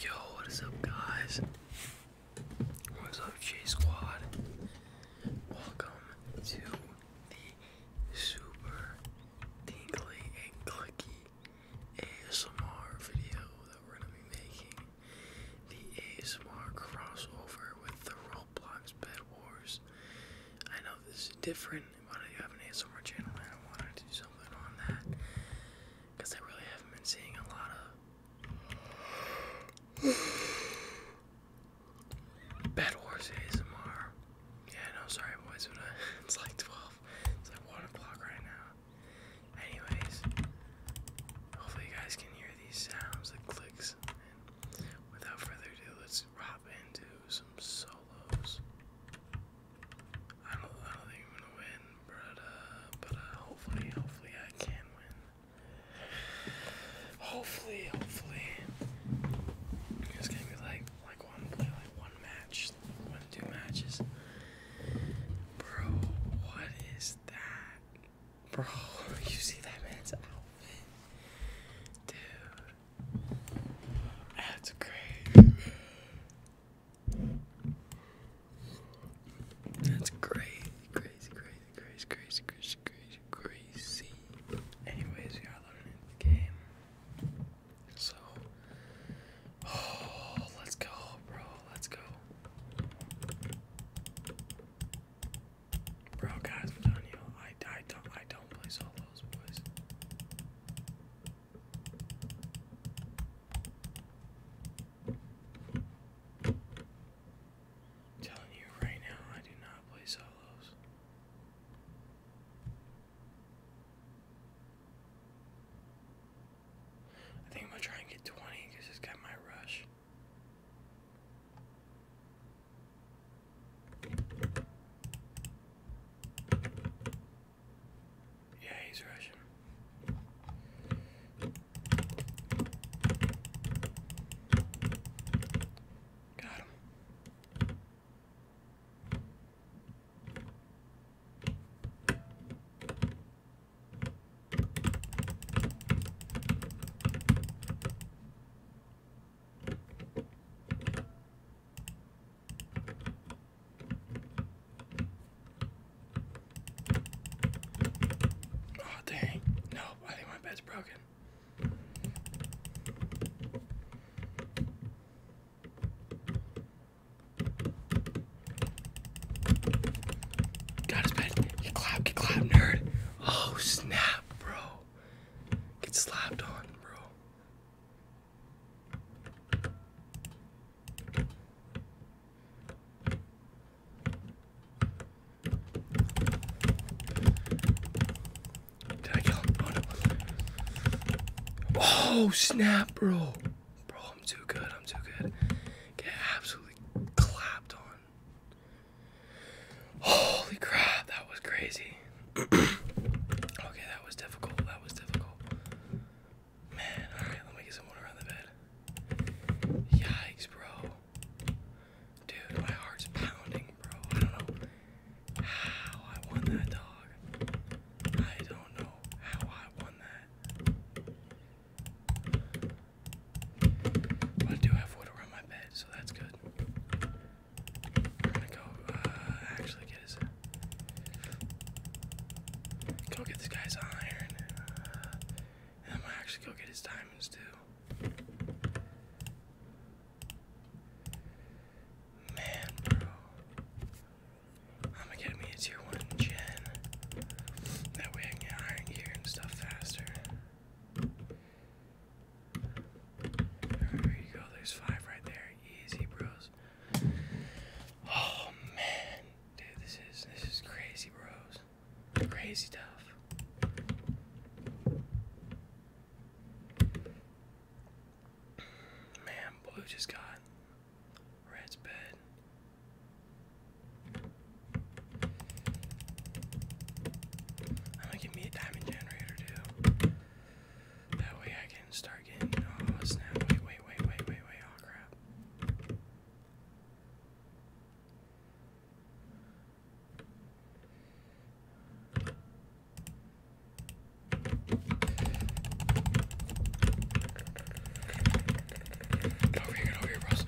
Yo, what is up, guys? What's up, J Squad? Welcome to the super tingly and clicky ASMR video that we're gonna be making. The ASMR crossover with the Roblox Bed Wars. I know this is different, wanted to have an ASMR channel and I wanted to do something on that because I really haven't been seeing a lot of bad horse ASMR. Yeah, no, sorry boys, uh, it's like 12. It's like 1 o'clock right now. Anyways, hopefully guys can hear these sounds, the clicks. And without further ado, let's hop into some solos. I don't, I don't think I'm gonna win, but uh, but uh, hopefully, hopefully I can win. Hopefully, hopefully, it's gonna be like like one play, like one match, one two matches. Bro, what is that? Bro, you see that man's outfit, dude? That's great. That's crazy, crazy, crazy, crazy, crazy, crazy, crazy, crazy. Anyways, we are learning the game. So, oh, let's go, bro. Let's go. Bro, guys, I'm telling I, I, don't, I don't play solo telling you right now, I do not play solos. I think I'm gonna try and get 20 because it's got my rush. Yeah, he's Russian. Got him. Oh, dang. No, I think my bed's broken. Got his bed. Get clapped, get clapped, nerd. Oh, snap, bro. Get slapped on, bro. Did I kill him? Oh, no. oh snap, bro. Bro, I'm too good. I'm too good. Get absolutely clapped on. Holy crap, that was crazy. okay, that was difficult. That was difficult. Man, alright, let me get some water on the bed. Yikes, bro. Dude, my heart's pounding, bro. I don't know how I won that dog. I don't know how I won that. But I do have water on my bed, so that's good. I'm gonna go uh, actually get his. Go get this guy's iron. Uh, and I'm gonna actually go get his diamonds too. Man, bro. I'm gonna get me a tier 1 gen. That way I can get iron gear and stuff faster. There you go. There's five right there. Easy, bros. Oh man, dude, this is this is crazy, bros. Crazy stuff. Man, blue just got red's bed. I'm gonna give me a diamond generator too. That way I can start getting. Oh snap! Wait, wait, wait, wait, wait, wait! Oh crap! over here, over here, Russ.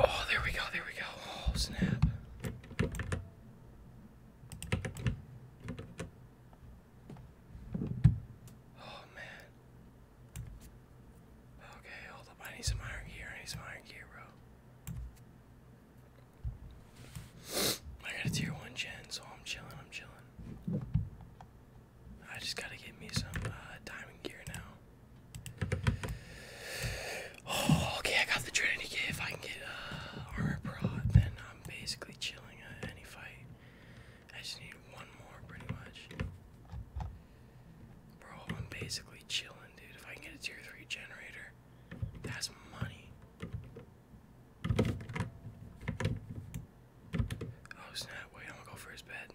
Oh, there we go, there we go. Oh snap. Oh man. Okay, hold up. I need some iron gear. I need some iron gear, bro. I got a tier one gen, so I'm chilling. I'm chilling. I just gotta get me some uh, diamond gear now. Oh, okay, I got the Trinity kit. If I can get uh, armor prod, then I'm basically chilling at any fight. I just need one more, pretty much. Bro, I'm basically chilling, dude. If I can get a tier 3 generator, that's money. Oh snap, wait, I'm gonna go for his bed.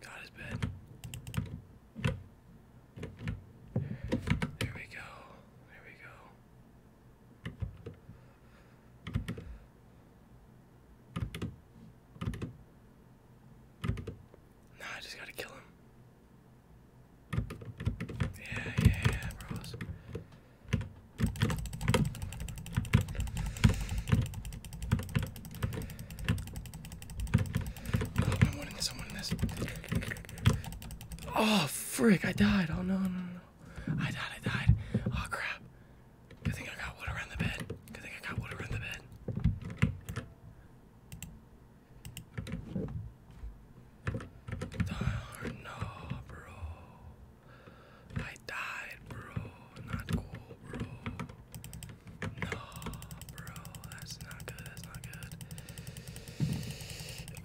Got his bed. There we go. There we go. Nah, I just gotta kill him. Yeah, yeah, yeah, bros. Oh, i i frick, I died. Oh, no, no, no. I died, I died. Oh, crap. Good thing I got wood around the bed. Good thing I got wood around the bed. no, bro. I died, bro. Not cool, bro. No, bro. That's not good. That's not good.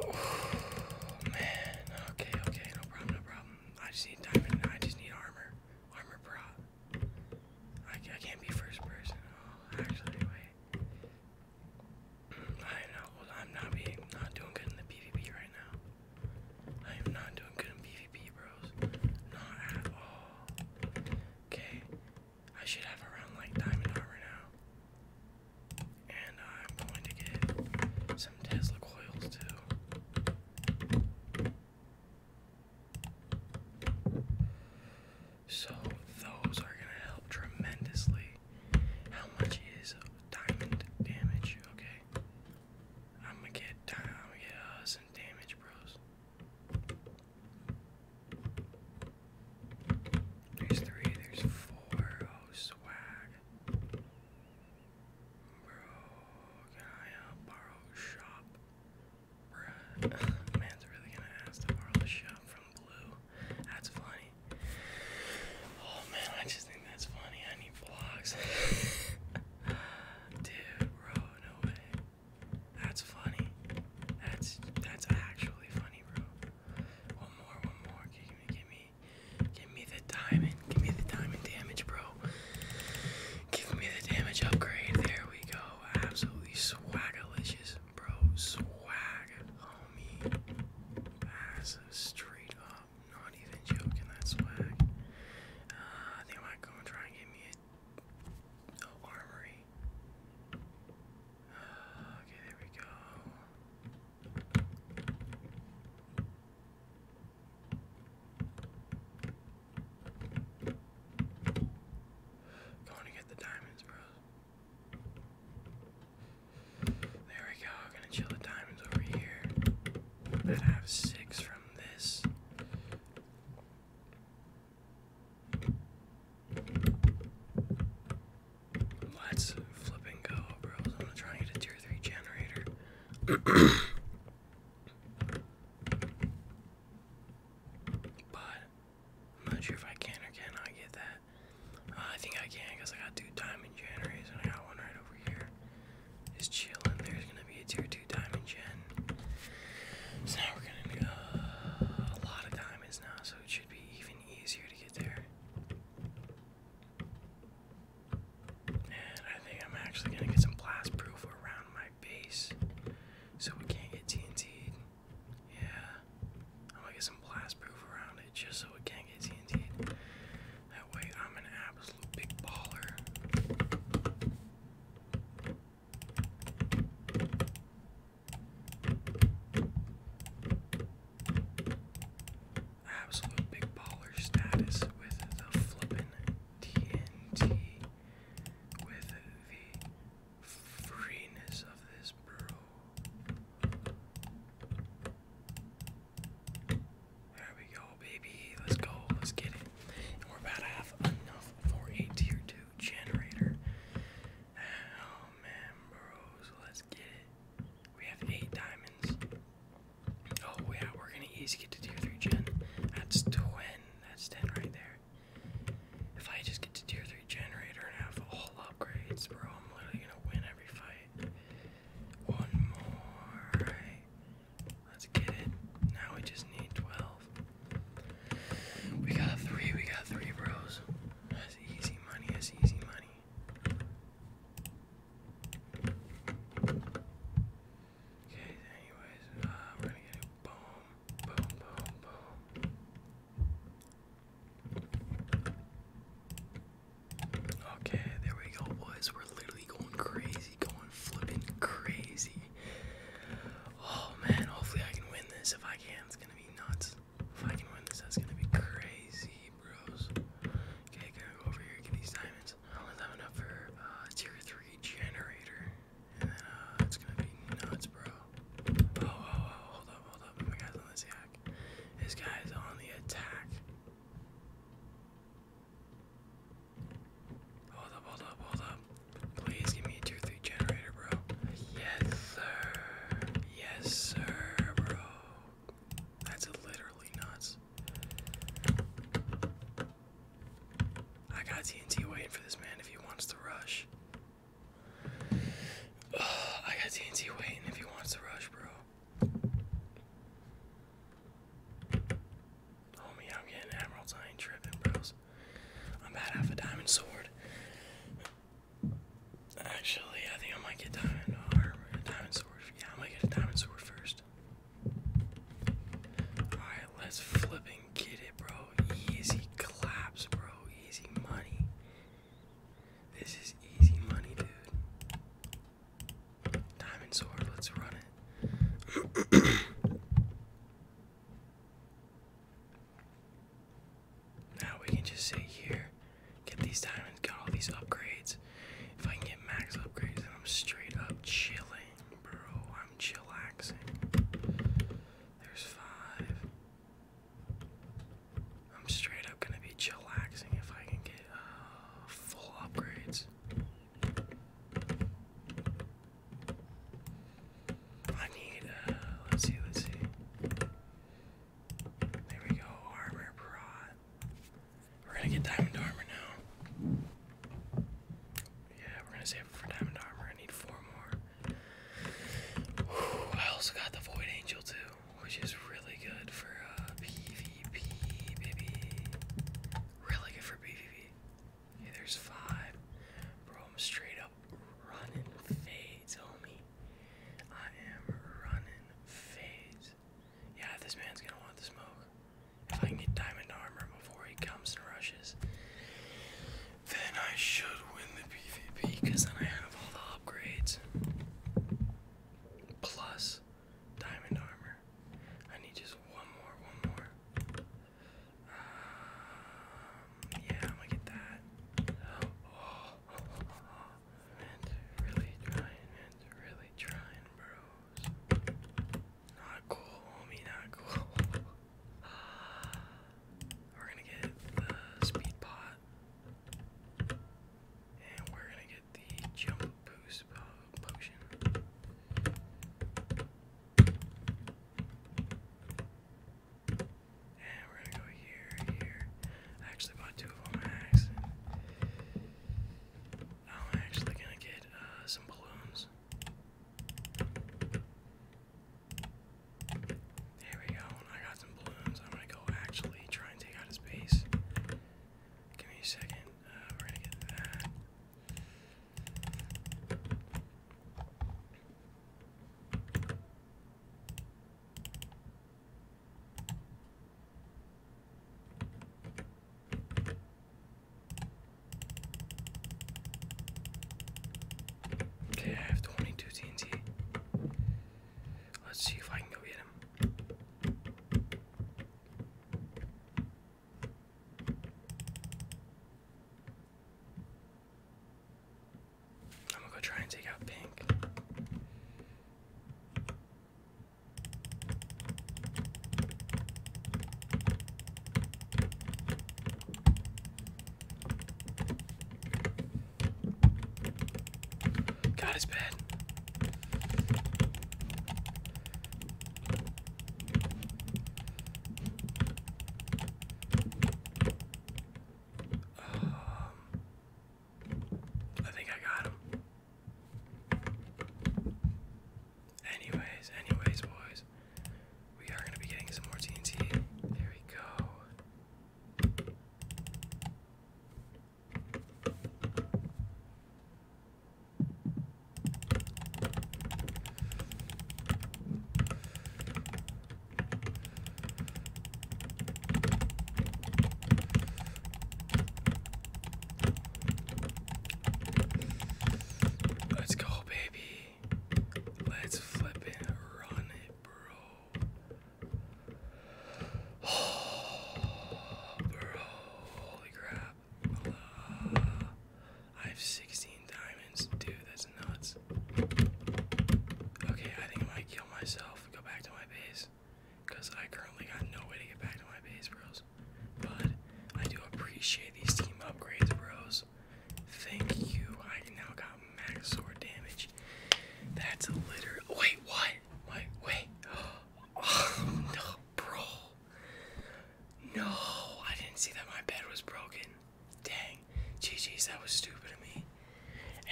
Oh, man. Okay, okay. No problem, no problem. I just need diamond. I just need armor. Armor bra. I, can't be first person. Oh, actually, wait. I know. I'm not doing good in the PvP right now. I am not doing good in PvP, bros. Not at all. Okay, I should have around like diamond armor now. And I'm going to get some Tesla coils too. So those are gonna help tremendously. How much is diamond damage? Okay. I'm gonna get down. I'm gonna get uh, some damage, bros. There's three. There's four. Oh, swag, bro. Can I uh, borrow shop, bro? Man's really gonna ask to borrow the shop from Blue. That's funny. Oh man, I just that's funny. I need vlogs. Dude, bro, no way. That's funny. That's that's actually funny, bro. One more, one more. Give me, give me, give me the diamond. Give me the diamond damage, bro. Give me the damage upgrade. There we go. Absolutely swagalicious, bro. Swag, homie. Massive straight up not even joking, that's swag. Uh, might go and try and get me a, armory. Uh, okay, there we go. Going to get the diamonds, bro. There we go. I'm gonna chill the diamonds over here. I'd have six from this. Let's flip and go, bros. I'm gonna try and get a tier 3 generator. but I'm not sure if I can or cannot get that. I think I can because I got two diamond generators and I got one right over here. Just chilling. There's gonna be a tier two diamond gen. So now we're gonna uh, a lot of diamonds now, so it should be even easier to get there. And I think I'm actually gonna get some blast proof around my base, so we can't get TNT. Yeah, I'm gonna get some blast proof around it just so it can get TNT. That way I'm an absolute big baller. Absolute big baller status with the flippin' TNT, with the freeness of this, bro. There we go, baby. Let's go. Let's get it. we're about to have enough for a tier 2 generator. Oh man, bros. Let's get it. We have 8 diamonds. Oh, yeah, we're gonna easy get to tier 3 gen. That's 10. That's 10 right there. If I just get to tier 3 generator and have all upgrades, bro, I'm literally gonna win every fight. One more, right. Let's get it. Now we just need 12. We got three, we got three, bros. That's easy money, that's easy money. Okay, anyways, uh, we're gonna get it. Boom, boom, boom, boom. Okay, there we go, boys. We're literally going crazy, going flipping crazy. Oh man, hopefully I can win this. If I can, it's gonna be nuts. If I can win this, that's gonna be crazy, bros. Okay, gonna go over here get these diamonds. I only enough for uh, tier 3 generator. And then uh, it's gonna be nuts, bro. Oh, oh, oh, hold up, hold up. My guy's on this. Yeah, this guy is on the attack. Hold up, hold up, hold up. Please give me a tier 3 generator, bro. Yes, sir. Yes, sir, bro. That's literally nuts. I got TNT waiting for this man if he wants to rush. I got TNT waiting if he wants to rush, bro. Homie, I'm getting emeralds. I ain't tripping, bros. I'm about half a diamond sword. Actually, I think I might get diamond armor, uh, diamond sword. Yeah, I might get a diamond sword first. Alright, let's flip and get it, bro. Easy claps, bro. Easy money. This is easy money, dude. Diamond sword, let's run it. now we can just sit here, get these diamonds, got all these upgrades. If I can get max upgrades, I'm straight up chilling, bro. I'm chillaxing. There's five. I'm straight up gonna be chillaxing if I can get uh, full upgrades. I need, uh, let's see, let's see. There we go, armor prod. We're gonna get diamond armor now. Yeah, we're gonna save for diamond armor. I need four more. I also got the Void Angel too, which is really good for uh, PvP, baby. Really good for PvP. Okay, there's five. Bro, I'm straight up running fades, homie. I am running fades. Yeah, this man's gonna want the smoke. If I can get diamond armor before he comes and rushes, then I should win the PvP because then I have all the upgrades. Plus diamond armor. I need just one more, one more. Um, yeah, I'm gonna get that. Oh, Man, really trying, man, really trying, bros. Not cool, homie, not cool. We're gonna get the speed pot. And we're gonna get the jump boost potion. And we're gonna go here, here. actually bought two of them by I'm actually gonna get uh, some balloons. There we go. I got some balloons. I'm gonna go actually try and take out his base. Give me a second. Uh, we're gonna get that. Okay, I have 22 TNT. Let's see if I can go get him. I'm gonna go try and take out Pink. God, it's bad. Um, I think I got him. Anyways, anyways, boys. We are going to be getting some more TNT. There we go. Let's go, baby. Let's flip it. Run it, bro. Oh, bro. Holy crap. Uh, I have 16 diamonds. Dude, that's nuts. Okay, I think I might kill myself and go back to my base. Because I currently got no way to get back to my base, bros. But I do appreciate these team upgrades, bros. Thank you. I now got max damage. That's a litter. Wait, what? Wait, wait. Oh no, bro. No, I didn't see that my bed was broken. Dang. Geez, that was stupid of me.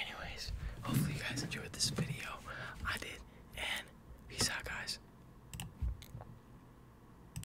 Anyways, hopefully you guys enjoyed this video. I did. And peace out, guys.